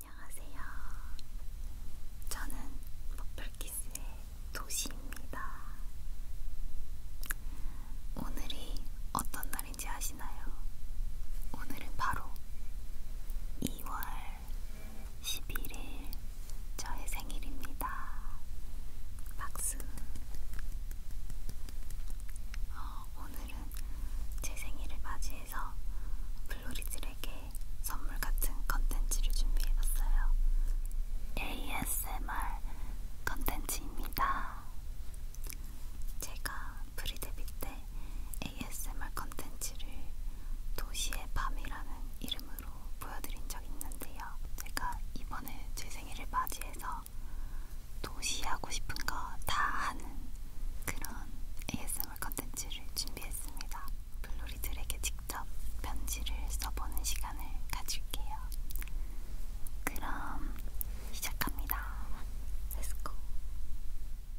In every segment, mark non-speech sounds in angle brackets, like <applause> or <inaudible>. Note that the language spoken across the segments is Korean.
안녕하세요. 저는 버플키스의 도시입니다. 오늘이 어떤 날인지 아시나요? 오늘은 바로 2월 11일 저의 생일입니다. 박수. 어, 오늘은 제 생일을 맞이해 위해서 플로리들에게 선물 같은 컨텐츠를 준비해봤어요. ASMR 컨텐츠입니다. 제가 프리데뷔 때 ASMR 컨텐츠를 도시의 밤이라는 이름으로 보여드린 적 있는데요. 제가 이번에 제 생일을 맞이해서 도시 하고 싶은 거다 하는 그런 ASMR ASMR 컨텐츠를 준비했습니다. 블루리들에게 직접 편지를 써보는 시간을 가질게요. 그럼 시작합니다. Let's go.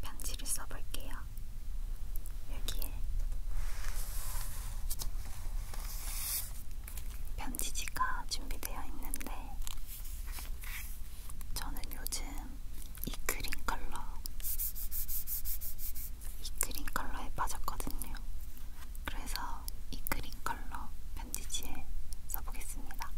편지를 써볼게요. 여기에 편지지가 준비되어 있는데 저는 요즘 이 크림 컬러, 이 크림 컬러에 빠졌거든요. 그래서 이 크림 컬러 편지지에 써보겠습니다.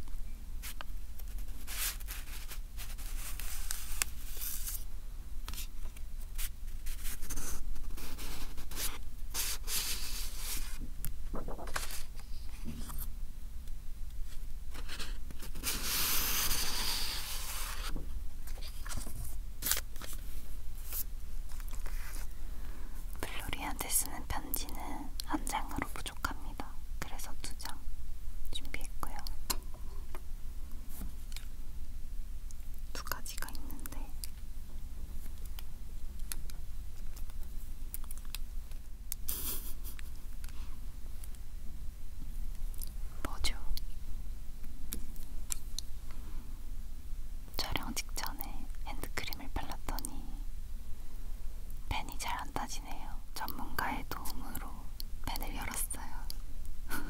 블로리한테 쓰는 편지는 한 장으로 부족합니다. 그래서 두 장 준비했고요. 두 가지가 있는데 뭐죠? 촬영 직전에 핸드크림을 발랐더니 펜이 잘 안 따지네요. 전문가의 도움으로 펜을 열었어요. <laughs>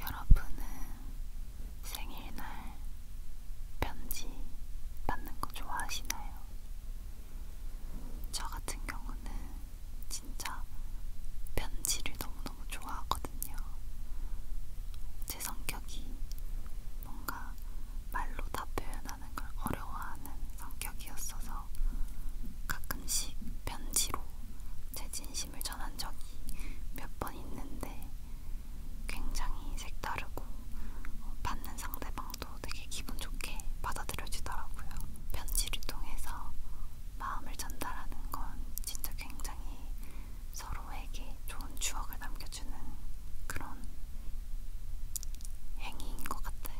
여러분은 생일날 편지 받는 거 좋아하시나요? 저 같은 경우는 진짜 편지를 너무너무 좋아하거든요. 제 성격이 뭔가 말로 다 표현할 사는 걸 어려워하는 성격이었어서 가끔씩 편지로 제 진심을 전한 적이 몇 번 있는데 굉장히 색다르고 어, 받는 상대방도 되게 기분 좋게 받아들여지더라고요. 편지를 통해서 마음을 전달하는 건 진짜 굉장히 서로에게 좋은 추억을 남길 남겨주는 그런 행위인 것 같아요.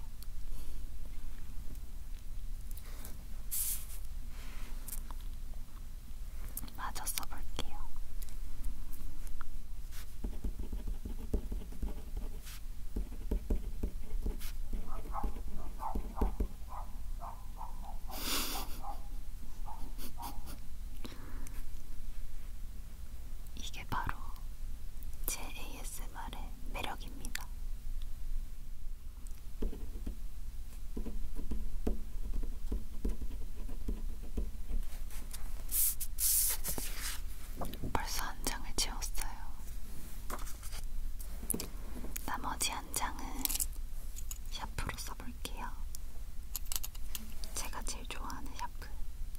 마저 써볼게요. 이게 바로 제 ASMR의 매력입니다. 벌써 한 장을 채웠어요. 나머지 한 장은 샤프로 써볼게요. 제가 제일 좋아하는 샤프.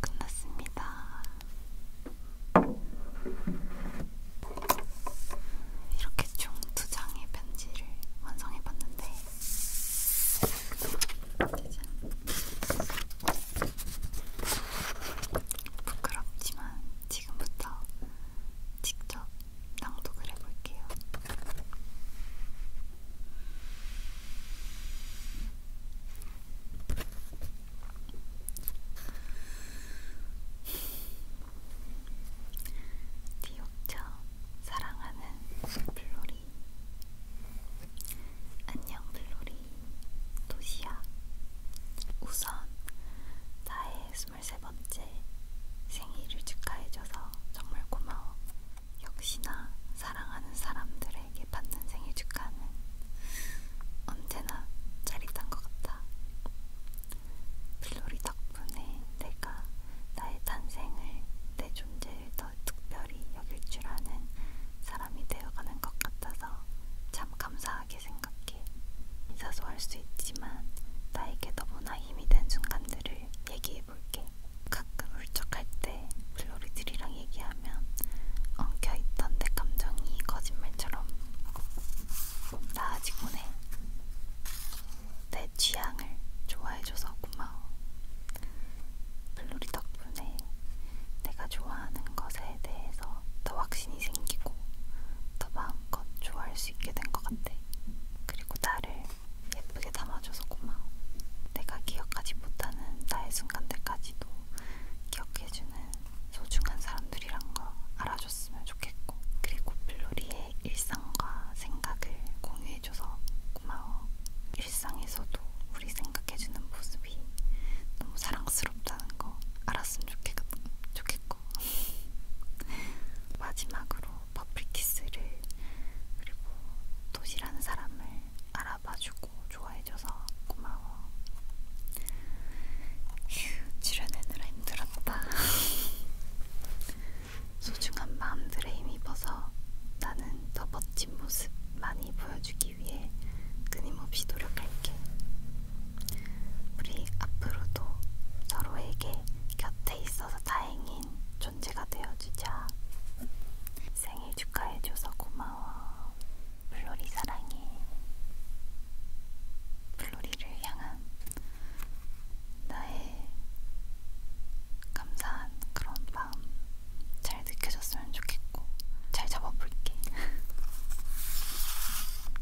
끝났습니다. 이렇게 총 두 장의 편지를 완성해봤는데 짜잔. 부끄럽지만 지금부터 직접 낭독을 해볼게요. 디옥처 사랑하는 블로리 안녕 블로리 도시야 우선 나의 23번째 생일을 축하해줘서 정말 고마워. 역시나 사랑하는 사람들에게 받는 생일 축하는 언제나 짜릿한 것 같아. 필로리 덕분에 내가 나의 탄생을 내 존재를 더 특별히 여길 줄 아는 사람이 되어가는 것 같아서 참 감사하게 생각해. 생각해. 사소할 수 있지만 나에게 너무나 힘이 된 순간들을 얘기해볼게. 가끔 울적할 때 플로리들이랑 얘기하면 엉켜있던 내 감정이 거짓말처럼 나아지곤 해. 내 취향을 좋아해줘서 고마워. 플로리 덕분에 내가 좋아하는 것에 대해서 더 확신이 생기고 더 마음껏 좋아할 수 있게 된 것 같아. 그리고 나를 예쁘게 담아줘서 고마워. 내가 기억하지 못하는 나의 순간들까지도 기억해주는 소중한 사람들이란 걸 알아줬으면 좋겠고, 그리고 플로리의 일상과 생각을 공유해줘서 고마워. 일상에서도 우리 생각해주는 모습이 너무 사랑스럽다는 거 알았으면 좋겠고, 있고 마지막으로 퍼플키스를 그리고 도시라는 사람을 알아봐주고 좋아해줘서 고마워 휴 출연해느라 힘들었다 <laughs> 소중한 마음들에 힘입어서 나는 더 멋진 모습 많이 보여주기 위해 끊임없이 노력할게 우리 앞으로도 서로에게 곁에 있어서 다행인 존재가 되어주자. 생일 축하해줘서 고마워. 블로리 사랑해. 블로리를 향한 나의 감사한 그런 마음 잘 느껴졌으면 좋겠고 잘 잡아볼게. <laughs>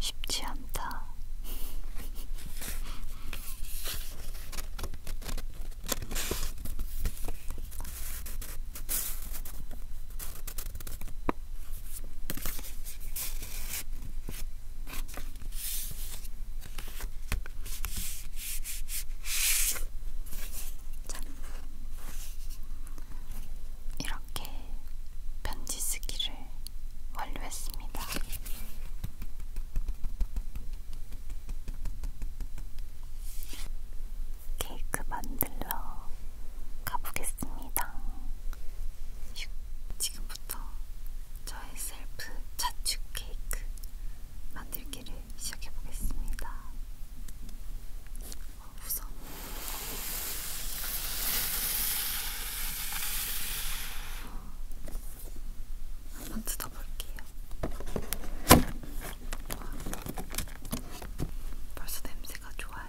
쉽지 않다. 짠. 이렇게 편지 쓰기를 완료했습니다. 케이크 만들러 가보겠습니다. 지금부터 저의 셀프 자축 케이크 만들기 읽기를 시작해 보겠습니다. 어, 우선 한번 뜯어볼게요. 벌써 냄새가 좋아요.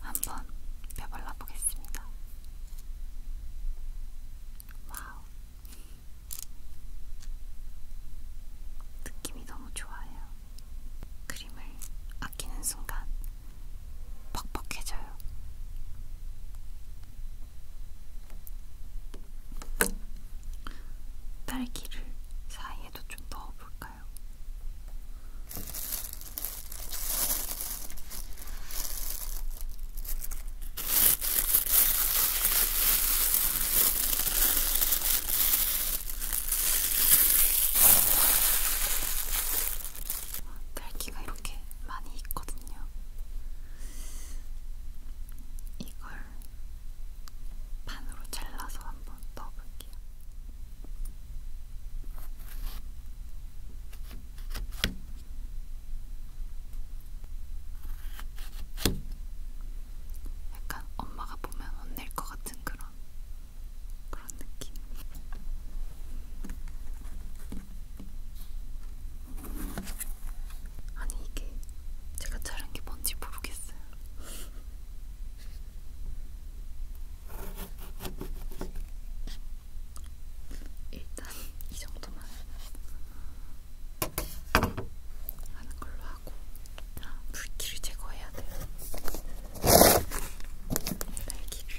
한번 펴발라 보겠습니다. 와우. 느낌이 너무 좋아요. 크림을 아끼는 순간 퍽퍽해져요. 딸기를 사이에도 좀 넣어볼까요? 딸기가 이렇게 많이 있거든요. 이걸 반으로 잘라서 한번 넣어볼게요. 약간 엄마가 보면 혼낼 것 같은 그런 그런 느낌. 아니 이게 제가 자른 게 뭔지 모르겠어요. 일단 이 정도만 하는 걸로 하고 아, 물기를 제거해야 돼요. 네, 날기를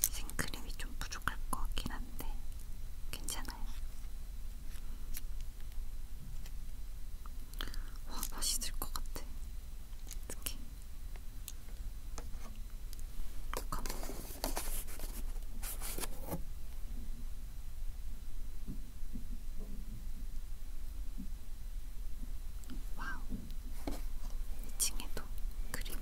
생크림이 좀 부족할 것 같긴 한데 괜찮아요. 와 맛있을 것 같아. 어떡해. 잠깐만. 와우. 2층에도 그림을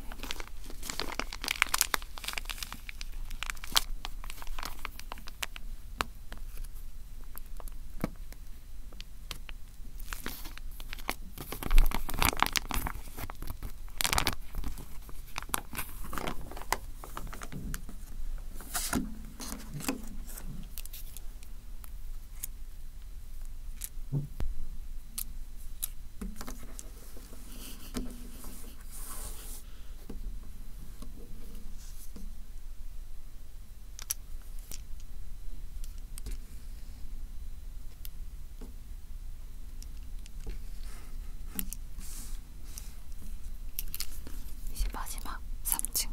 이제 마지막 3층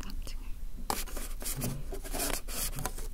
3층을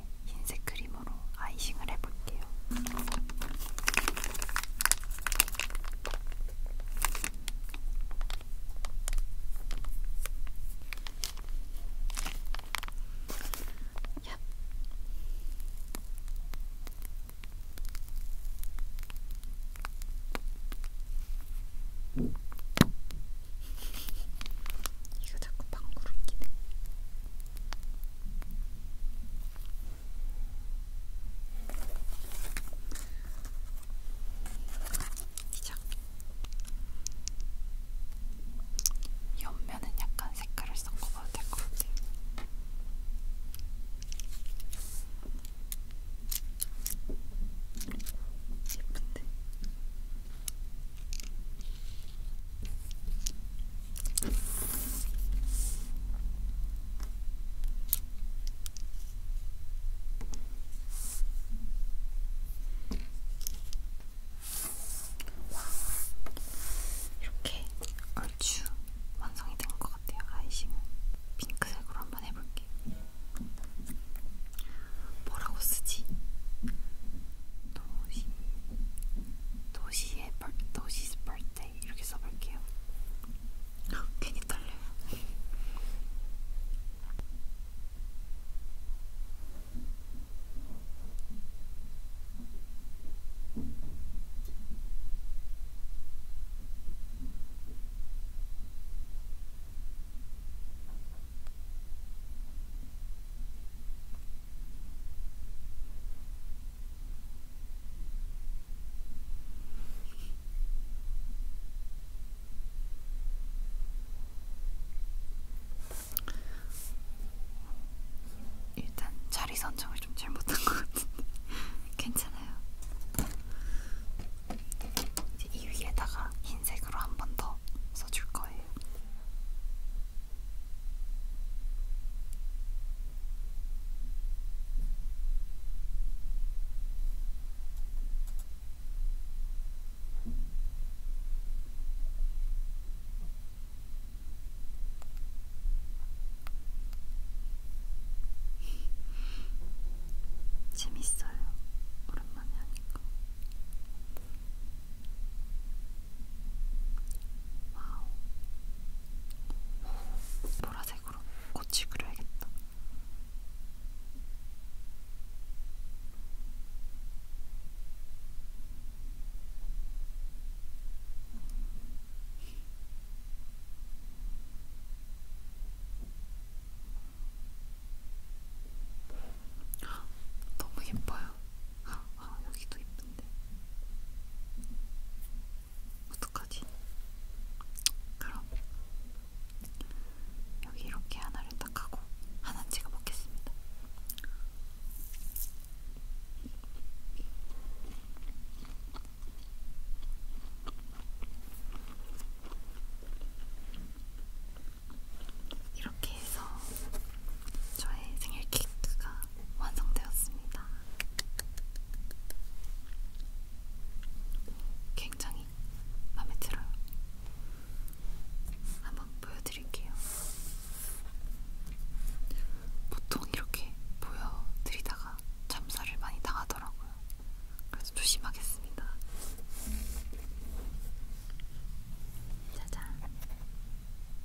위에 흰색 크림으로 아이싱을 해볼게요. 야. 이거 자꾸 방구를 끼네. 시작. 옆면은 약간 색깔을 섞어봐도 될 것 같아요. 예쁜데? 와, 이렇게 얼추 완성이 된 것 같아요. 아이싱은 핑크색으로 한번 해볼게요. 뭐라고 쓰지? 도시, 도시 여기에 너시스 birthday 이렇게 써볼게요. 괜히 떨려요. 일단 자리 선정을 좀 잘못한 것 같은데 <laughs> 괜찮아요. 이제 이 위에다가 흰색으로 한 번 더 써줄 거예요. 재밌어요. 오랜만에 하니까. 와우. 보라색으로 꽃이 그려야겠다. 너무 예뻐요. 아, 여기도 예쁜데. 어떡하지? 그럼 여기 이렇게 하나를 딱 하고 하나 찍어 먹겠습니다. 이렇게 해서 저의 생일 케이크가 완성되었습니다. 굉장히 마음에 들어요. 한번 보여드릴게요. 보통 이렇게 보여드리다가 잠수를 많이 당하더라고요. 그래서 조심하겠습니다. 짜잔. 네,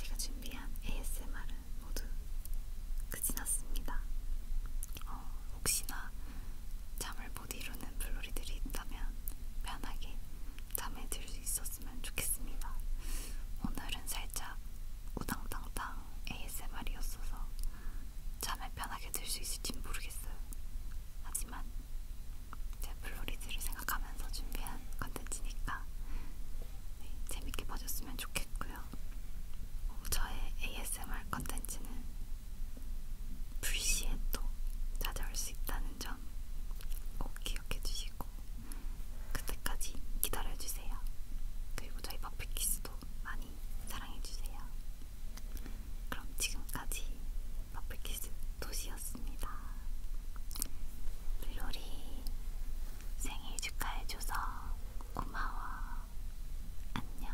제가 준비한 ASMR은 모두 끝이 그 났습니다. 어, 혹시나 잠을 못 이루는 블로리들이 있다면 편하게 잠에 들 수 있었으면 좋겠습니다. 오늘은 살짝 우당탕탕 그냥 ASMR이었어서 잠에 편하게 들 수 있을진 모르겠어요. 하지만 제 플로리즈를 생각하면서 준비한 컨텐츠니까 네, 재밌게 봐줬으면 좋겠고요. 어, 저의 ASMR 컨텐츠는 불시에 또 찾아올 수 있다는 점 꼭 기억해 주시고 그때까지 기다려 주세요. 그리고 저희 버킷키스도 많이 많이 사랑해주세요. 그럼 지금까지 마플키스 도시였습니다. 블로리 생일 축하해줘서 고마워. 안녕.